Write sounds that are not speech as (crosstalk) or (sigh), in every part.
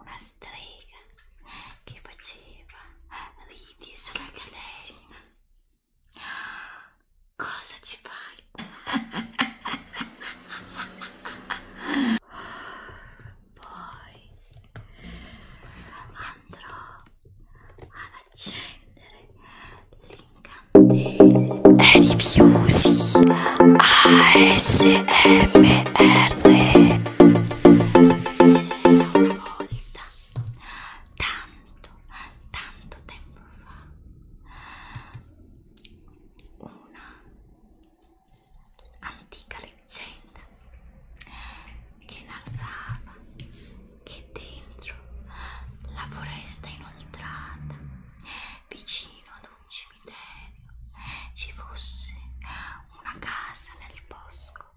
una strega che faceva ridi sulla gallina. Cosa ci fai? Poi andrò ad accendere l'incantesimo. Rifiusi ASMR una volta, tanto, tanto tempo fa, una antica leggenda che narrava che dentro la foresta inoltrata, vicino ad un cimitero ci fosse una casa nel bosco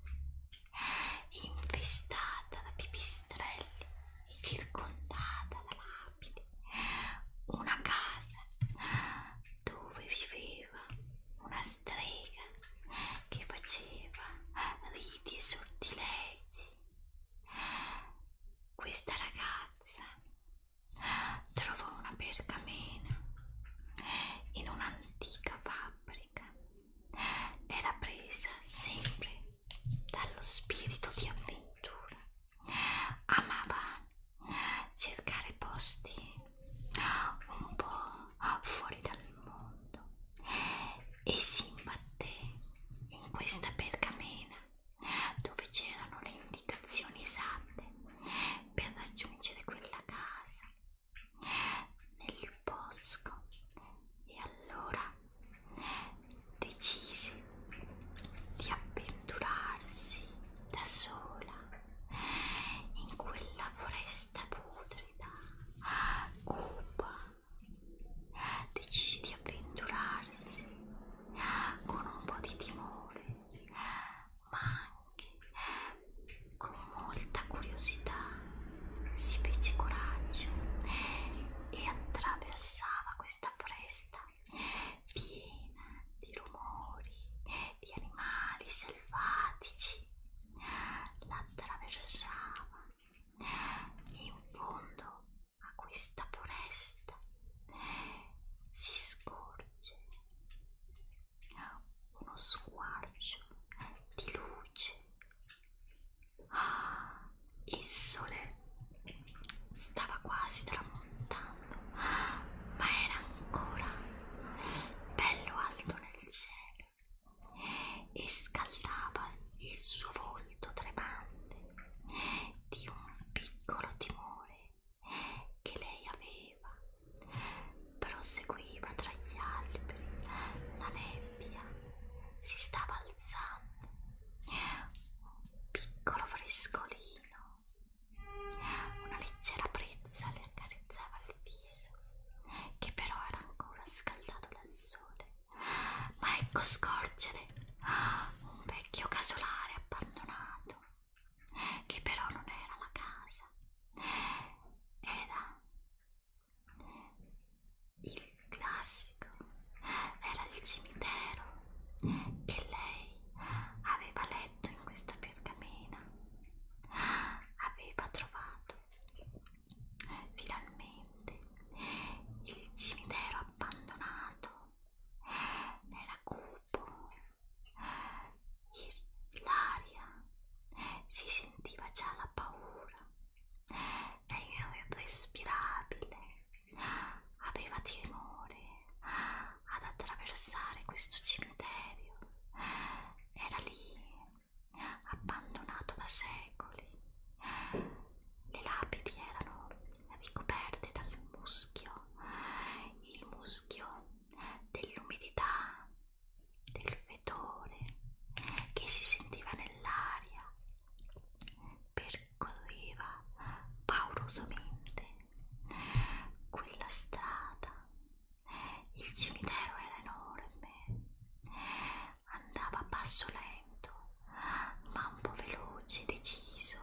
infestata da pipistrelli e circondata da lapidi, una casa dove viveva una strega che faceva riti e sortilegi. Questa ragazza Trovo una pergamena in un'antica fabbrica. Era presa sempre dallo spirito di avventura. Amava cercare posti un po' fuori dal mondo e si imbatté in questa pergamena dove c'erano le indicazioni esatte per raggiungere quella casa nel bosco e allora decise di avventurarsi da sola in quella foresta putrida cupa decise di avventurarsi con un po' di timore ma anche eh, con molta curiosità si fece coraggio e attraversava questa foresta piena di rumori, di animali selvatici. L'attraversava e in fondo a questa foresta si scorge uno squarcio di luce. Ah, il sole stava quasi tramontando, ma era ancora bello alto nel cielo e scaldava il suo volto tremante di un piccolo timore che lei aveva. Proseguiva tra gli alberi, la nebbia si stava alzando, un piccolo frescolino, una leggera brezza le accarezzava il viso, che però era ancora scaldato dal sole. Ma ecco scorgere un vecchio casolare abbandonato che però non era la casa, era il classico, era il cimitero che lei aveva letto in questa pergamena, aveva trovato finalmente il cimitero abbandonato nella cupo l'aria si sentiva già la paura lei era irrespirabile aveva timore ad attraversare questo cimitero era lì abbandonato da secoli le lapidi erano ricoperte dal muschio, il muschio dell'umidità, del fetore che si sentiva nell'aria, percorreva paurosamente quella strada. Il cimitero era enorme, andava a passo lento, ma un po' veloce e deciso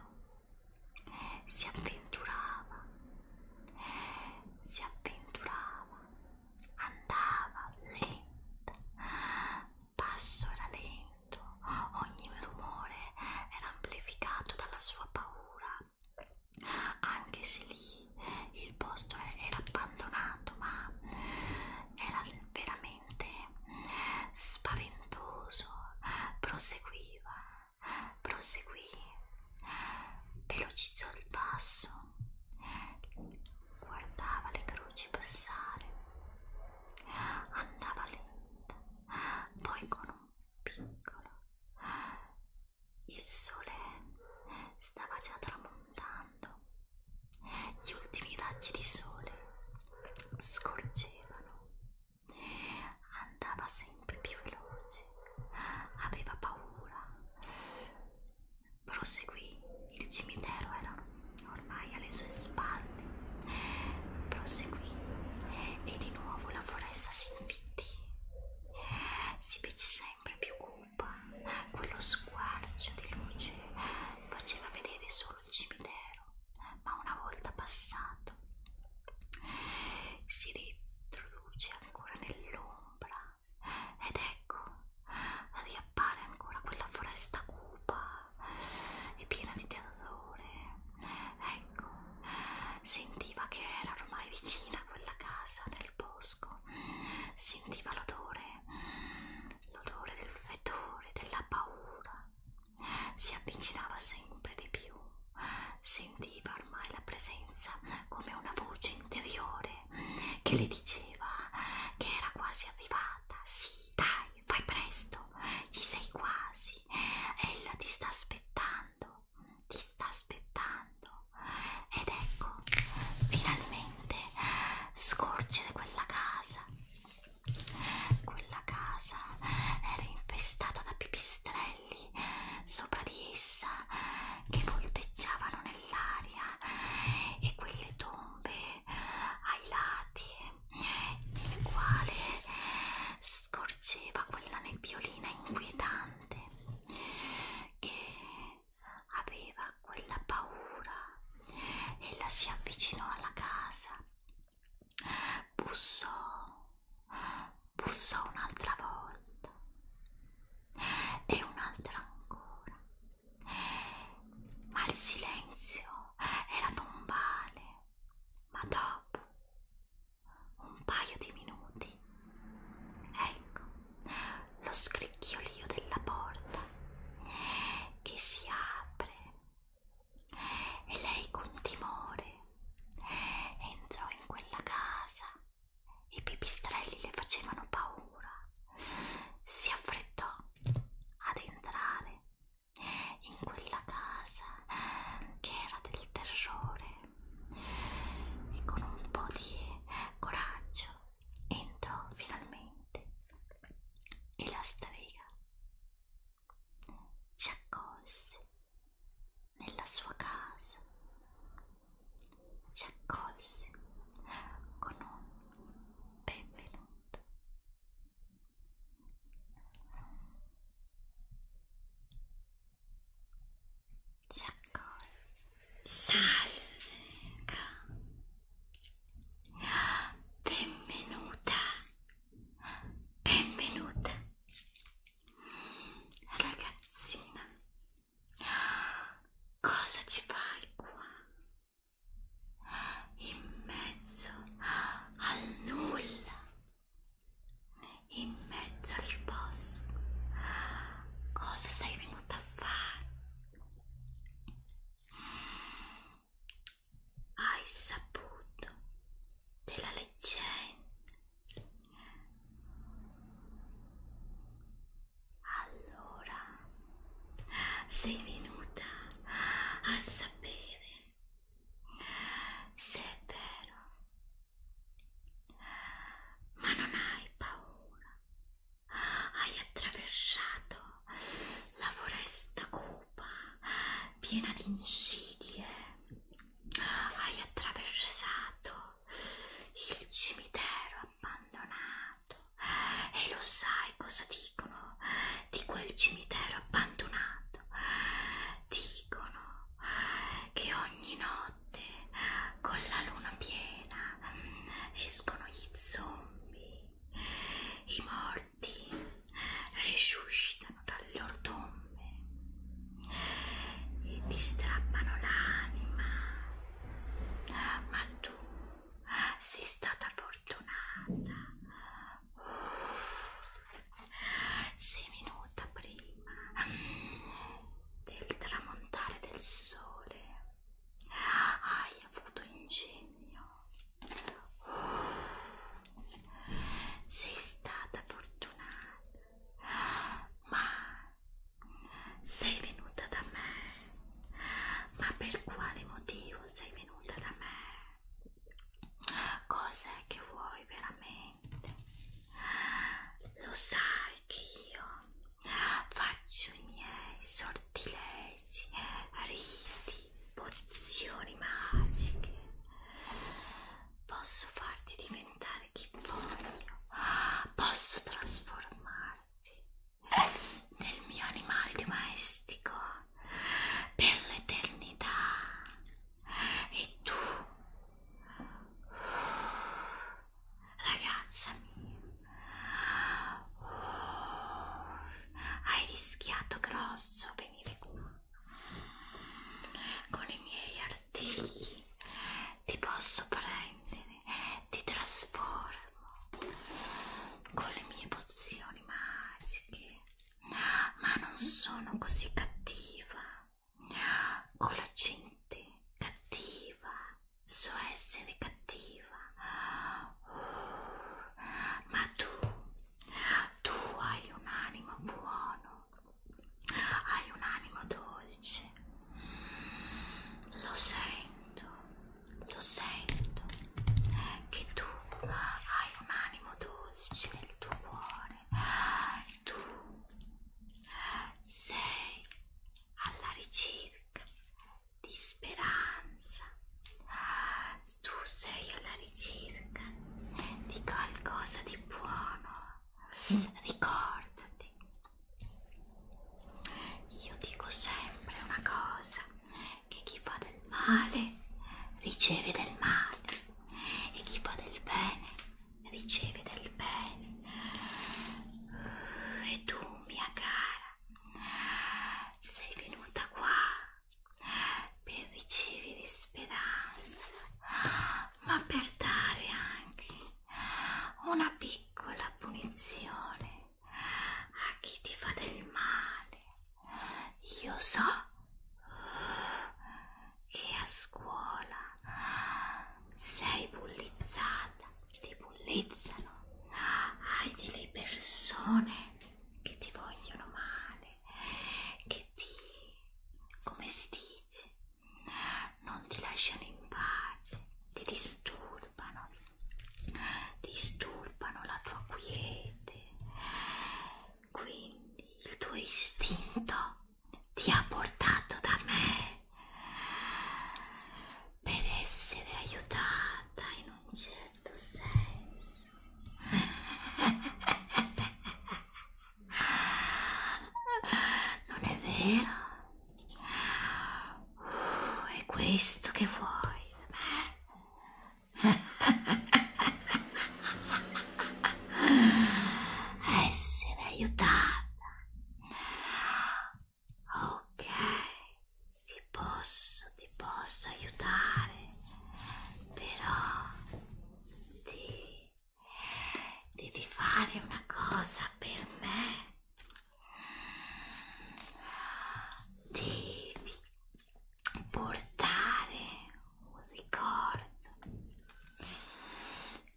si avventurava, si avventurava, andava lenta, passo era lento, ogni rumore era amplificato dalla sua paura, anche se lì il posto era abbandonato, ma era veramente spaventoso, proseguiva proseguì, velocizzò il passo, guardava le croci passare, andava lenta, poi con un piccolo. Il sole stava già tramontando, gli ultimi raggi di sole scorgevano andava sempre più veloce, aveva paura. Proseguì, il cimitero era ormai alle sue spalle. Proseguì e di nuovo la foresta si infittì. Si fece sempre più cupa, quello squarcio di luce faceva vedere solo il cimitero ma una volta passato si riintroduce ancora nell'ombra ed ecco riappare ancora quella foresta cupa e piena di terrore ecco sentiva che era ormai vicina quella casa nel bosco sentiva l'odore l'odore del fetore della paura si avvicinava sempre di più, sentiva ormai la presenza come una voce interiore che le diceva che era quasi arrivata, sì, dai, fai presto, ci sei quasi, ella ti sta aspettando, ti sta aspettando ed ecco, finalmente scorgere quella casa quella casa era infestata da pipistrelli sopra di essa che volteggiavano nell'aria e quelle tombe ai lati nel quale scorgeva quella nebbiolina inquietante che aveva quella paura ella si avvicinò alla casa Busso, busso un'altra volta e un'altra ancora, ma il silenzio era tombale, ma dopo un paio di minuti, ecco lo scricchiolio della porta che si apre e lei con timore entrò in quella casa. I pipistrelli le facevano paura. Si affrettò ad entrare in quella casa che era del terrore e con un po' di coraggio entrò finalmente e la strega si accolse nella sua casa, si accolse con un benvenuto. Si accolse. Salve! Benvenuta Benvenuta ragazzina. Cosa ci fai qua? In mezzo al nulla. In mezzo al bosco. Cosa sei venuta a fare? hai saputo della leggenda? Allora sei venuta a sapere se è vero, ma non hai paura. Hai attraversato la foresta con cupa, piena di insidie, hai attraversato il cimitero abbandonato e lo sai cosa dicono di quel cimitero abbandonato? Dicono che ogni notte con la luna piena escono gli zombie, i morti morti risuscitano dalle ordombe e ti strappano l'anima, ma tu sei stata fortunata, sei venuta prima del tramontare del sole. Hai avuto ingegno sei stata fortunata, ma sei venuta da me. Ma per quale motivo sei venuta da me? Cos'è che vuoi veramente? Lo sai che io faccio i miei sortilegi, riti, pozioni magiche posso farti diventare chi voglio posso trasformarti nel mio animale domestico per l'eternità e tu ragazza mia hai rischiato grosso venire qua con i miei artigli ti posso prendere ti trasformo con le mie pozioni magiche ma non sono così cattiva con la gente cattiva so essere cattiva ma tu, tu hai un animo buono, hai un animo dolce, lo sento, lo sento, che tu hai un animo dolce nel tuo cuore, tu sei alla ricerca di speranza. Tu sei alla ricerca di qualcosa di buono. Ricordati, io dico sempre una cosa, che chi fa del male riceve del male e chi fa del bene riceve del bene. E tu, mia cara, sei venuta qua per ricevere speranza, ma per dare anche una piccola punizione a chi ti fa del male. Io so che a scuola sei bullizzata, ti bullizzano, hai delle persone che ti vogliono male, che ti, come si dice, non ti lasciano in pace, ti disturbano, disturbano la tua quiete, quindi il tuo istinto ti ha portato da me per essere aiutata in un certo tu certo sei. Non è vero? Uh, è questo che vuoi da me? Essere eh, aiutata Ok, ti posso, ti posso aiutare, però ti, devi fare una cosa per me. Devi portare un ricordo,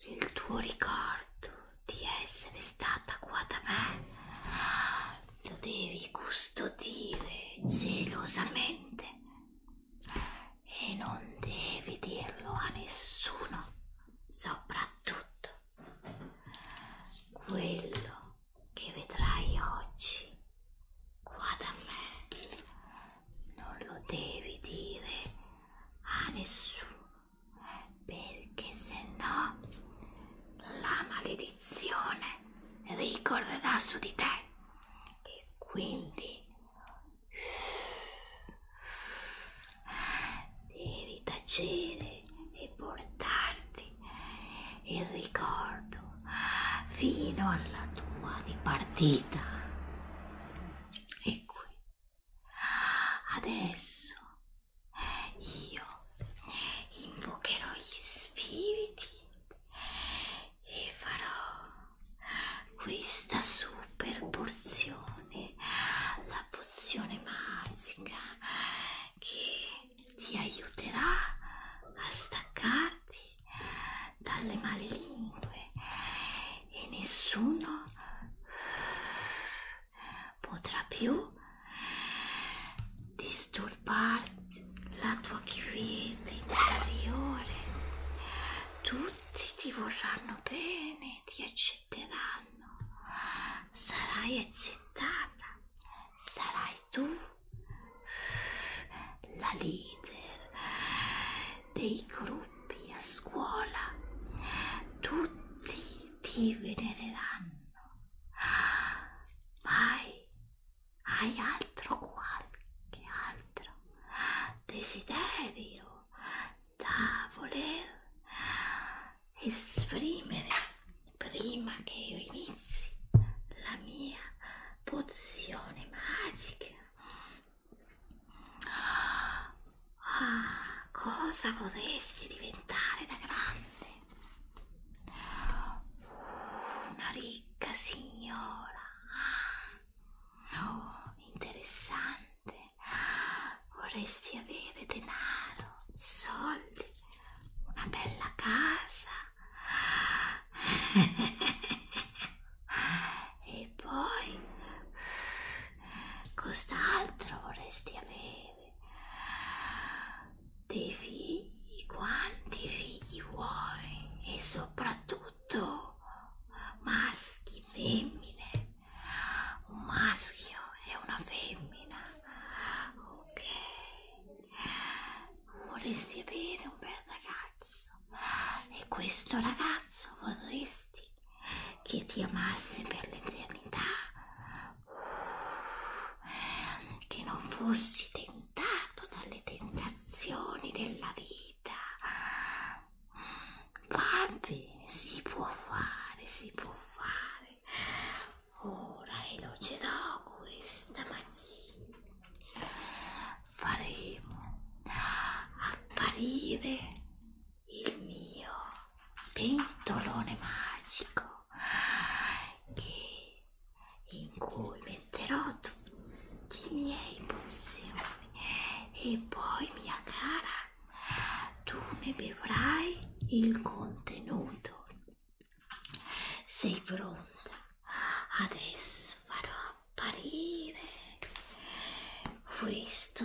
il tuo ricordo di essere stata qua da me lo devi custodire gelosamente e non devi dirlo a nessuno soprattutto quello che vedrai oggi qua da me non lo devi dire a nessuno perché se no la maledizione ricorrerà su di te e quindi devi tacere e portarti il ricordo fino alla tua dipartita e qui adesso io invocherò gli spiriti e farò questa super porzione, la pozione magica che ti aiuterà a staccarti dalle male lingue e nessuno potrà più disturbarti la tua quiete interiore. Tutti ti vorranno bene, ti accetteranno, sarai accettata, sarai tu la leader dei gruppi a scuola. Tutti ti venereranno Vai, hai altro qualche altro desiderio da voler esprimere prima che io inizi la mia pozione magica? Ah, cosa vorresti diventare da grande? Una ricca signora oh, interessante. Vorresti avere denaro, soldi, una bella casa. (laughs) e poi cost'altro vorresti avere? Dei figli, quanti figli vuoi? E soprattutto maschi, femmine. Un maschio e una femmina. Ok. Vorresti avere un bel ragazzo. E questo ragazzo vorresti che ti amasse per l'eternità che non fossi tentato dalle tentazioni della vita. Va bene, si può fare, si può fare. Ora elogerò questa mattina. Faremo apparire il mio pentolone magico che, in cui metterò tutti i miei pozioni e poi mia cara tu ne bevrai il contenuto sei pronta adesso farò apparire questo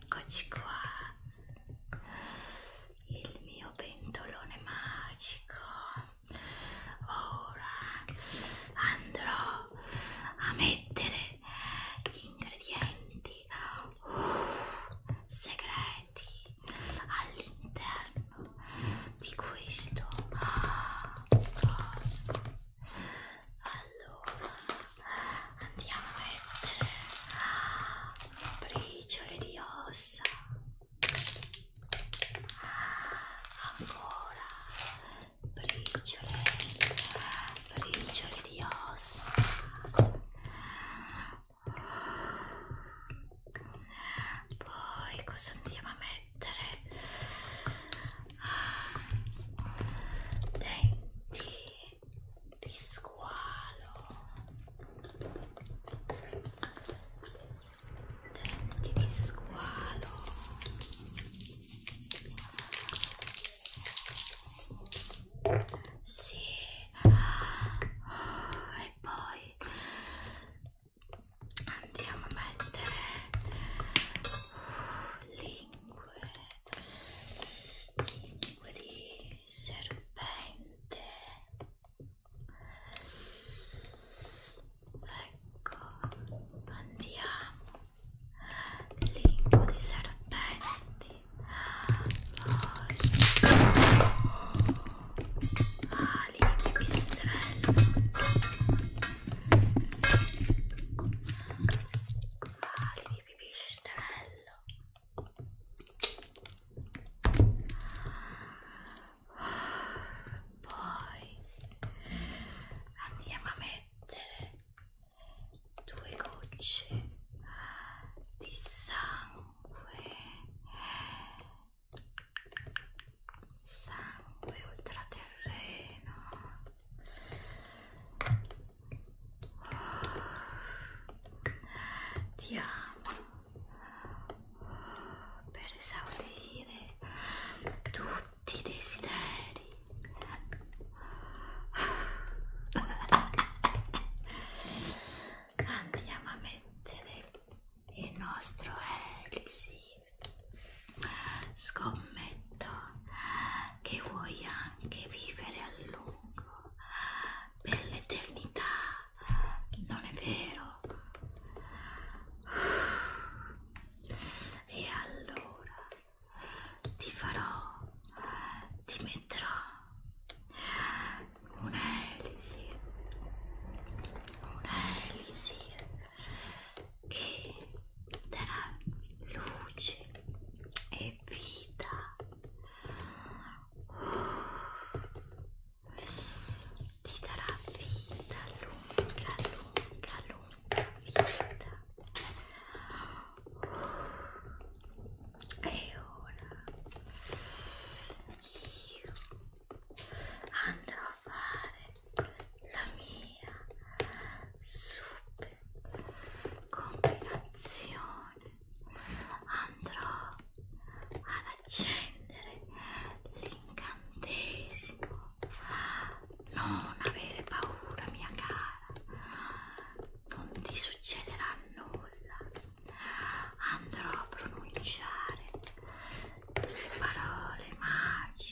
Eccoci qua, il mio pentolone magico. Ora andrò a mettere gli ingredienti uh, segreti all'interno di questo coso. Ah, allora, andiamo a mettere ah, briciole di ossa. Ah, ancora briciole, briciole di ossa. Poi cosa andiamo a mettere? denti di squalo denti di squalo sì e poi andiamo a mettere lì lingue lingue di serpente ecco andiamo lingue di serpenti poi ah, ali di pistrello ali di pipistrello poi andiamo a mettere due gocce di sangue sangue oltraterreno ti amo per esaudire tutti i desideri. Andiamo a mettere il nostro elixir Scommetto che vuoi anche vivere a lungo, per l'eternità, non è vero? E allora ti farò, ti metterò un'elisi, un'elisi che darà luce e vita ti darà vita lunga lunga lunga vita e ora io andrò a fare la mia super combinazione andrò ad accendere l'incantesimo non avere paura mia cara non ti succederà nulla andrò a pronunciare le parole magiche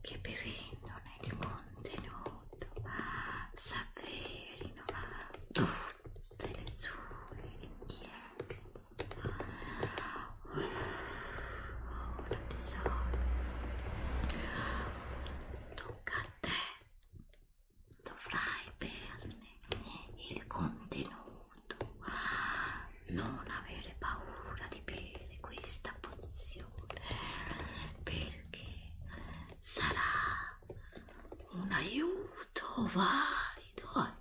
che bevendone di contenuto s'avverino tutte le sue richieste. Oh, la tesoro, tocca a te. Dovrai berne il contenuto, non avere paura di bere questa pozione migliore perché sarà un aiuto valido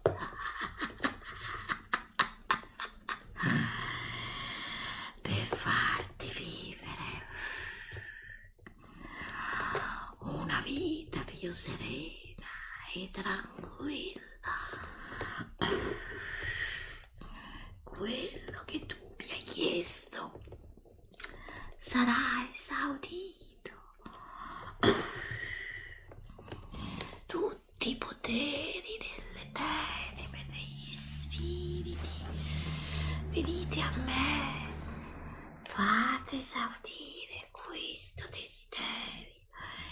per farti vivere una vita più serena e tranquilla quello che tu mi hai chiesto sarà esaudito tutti i poteri delle tenebre degli spiriti venite a me fate esaudire questo desiderio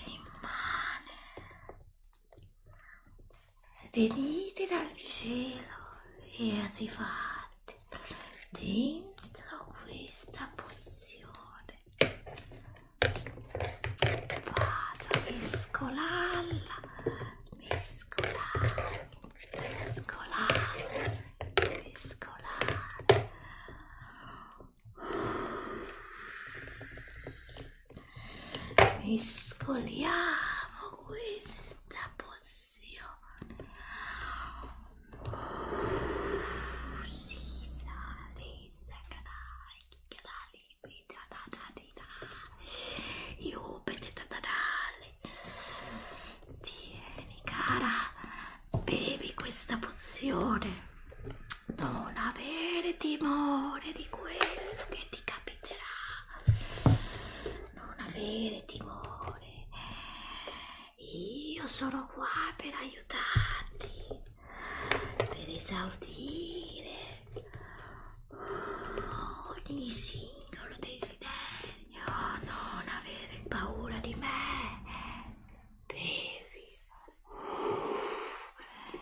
immane venite dal cielo e arrivate dentro questa pozione vado a mescolarla mescolare mescolare mescolare mescoliamo questa pozione oh, si sale sacrai canali da da da di da io da da da tieni cara bevi questa pozione non avere timore di quello che ti capita proteggerà. Non avere timore. Io sono qua per aiutarti, per esaudire ogni singolo desiderio. Non avere paura di me. Bevi.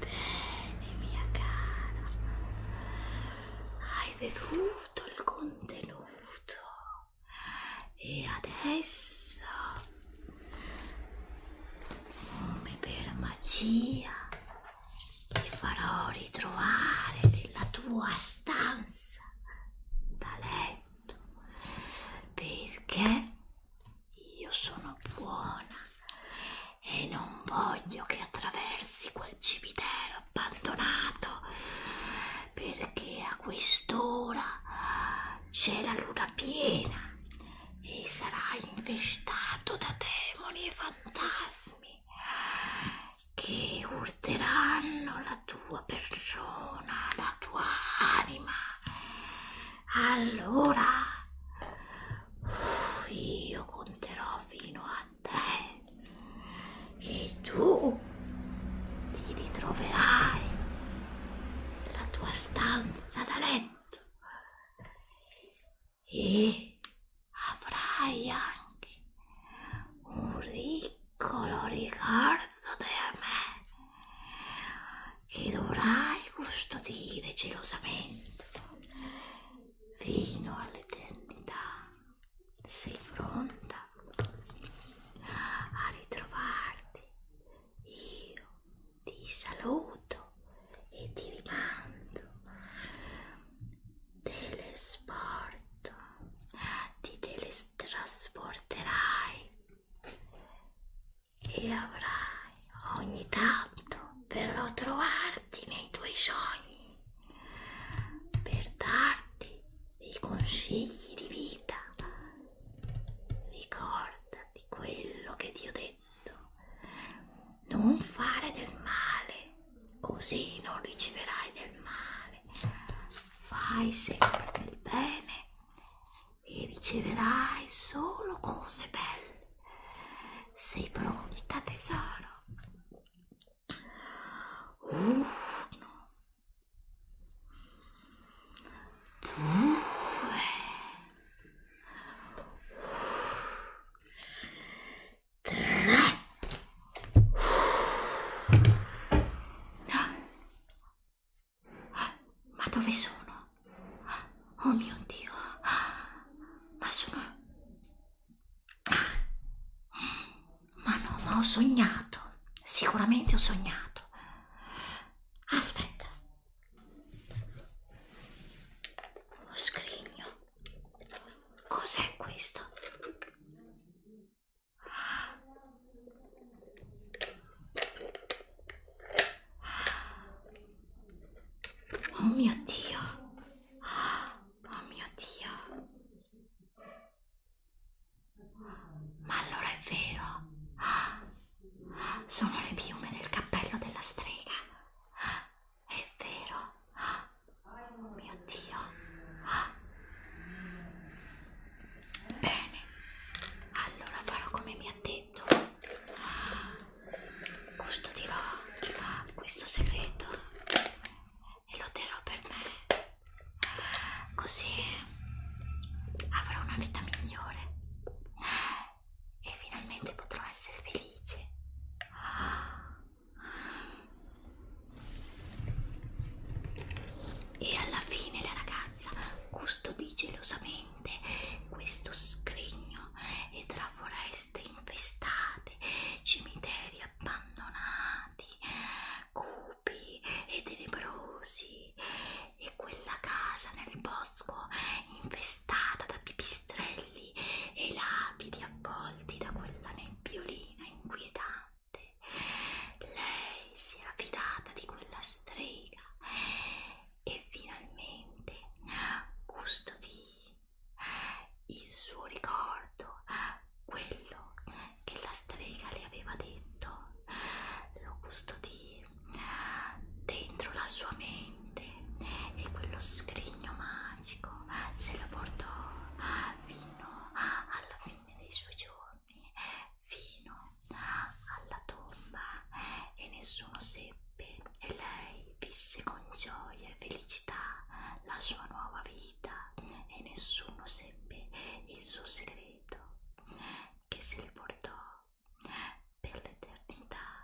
Bene, mia cara, hai bevuto il contenuto e adesso, come per magia, ti farò ritrovare nella tua stanza da letto perché io sono buona e non voglio che attraversi quel cimitero abbandonato perché a quest'ora c'è la luna piena e sarai infestato da demoni e fantasmi che urteranno la tua persona, la tua anima. Allora io conterò fino a tre e tu ti ritroverai nella tua stanza da letto e avrai anche un piccolo ricordo di me che dovrai custodire gelosamente fino all'eternità. Sei pronta a ritrovarti? Io ti saluto e ti rimando telesporto, ti teletrasporterai e avrai ogni tanto per ritrovarti nei tuoi sogni, per darti dei consigli di vita. Ricordati quello che ti ho detto. Non fare del male così non riceverai del male, fai sempre del bene e riceverai solo cose belle. Sei pronta tesoro? Uno, due, (gasps) Ma dove sono? Oh mio Dio! Ma sono... (gasps) Ma no, ma ho sognato. Sicuramente ho sognato. Aspetta. Lo scrigno. Cos'è questo? Oh mio Dio! Oh mio Dio! Ma allora è vero! Sono le piume del cappello della strega! È vero? Ah, mio Dio! Ah. Bene, allora farò come mi ha detto. Ah. Custodirò ah, questo segreto e lo terrò per me. Così avrò una vita migliore e finalmente potrò essere felice. E alla fine la ragazza custodì gelosamente questo scrigno e tra foreste infestate, cimiteri abbandonati, cupi e tenebrosi e quella casa nel bosco infestata da pipistrelli capelli e lapidi avvolti da quella nebbiolina inquietante. Lei si era fidata di quella strega e finalmente custodì il suo ricordo, quello che la strega le aveva detto, lo custodì dentro la sua mente di quello scrigno magico se lo portò fino alla fine dei suoi giorni, fino alla tomba e nessuno seppe e lei visse con gioia e felicità la sua nuova vita e nessuno seppe il suo segreto che se le portò per l'eternità.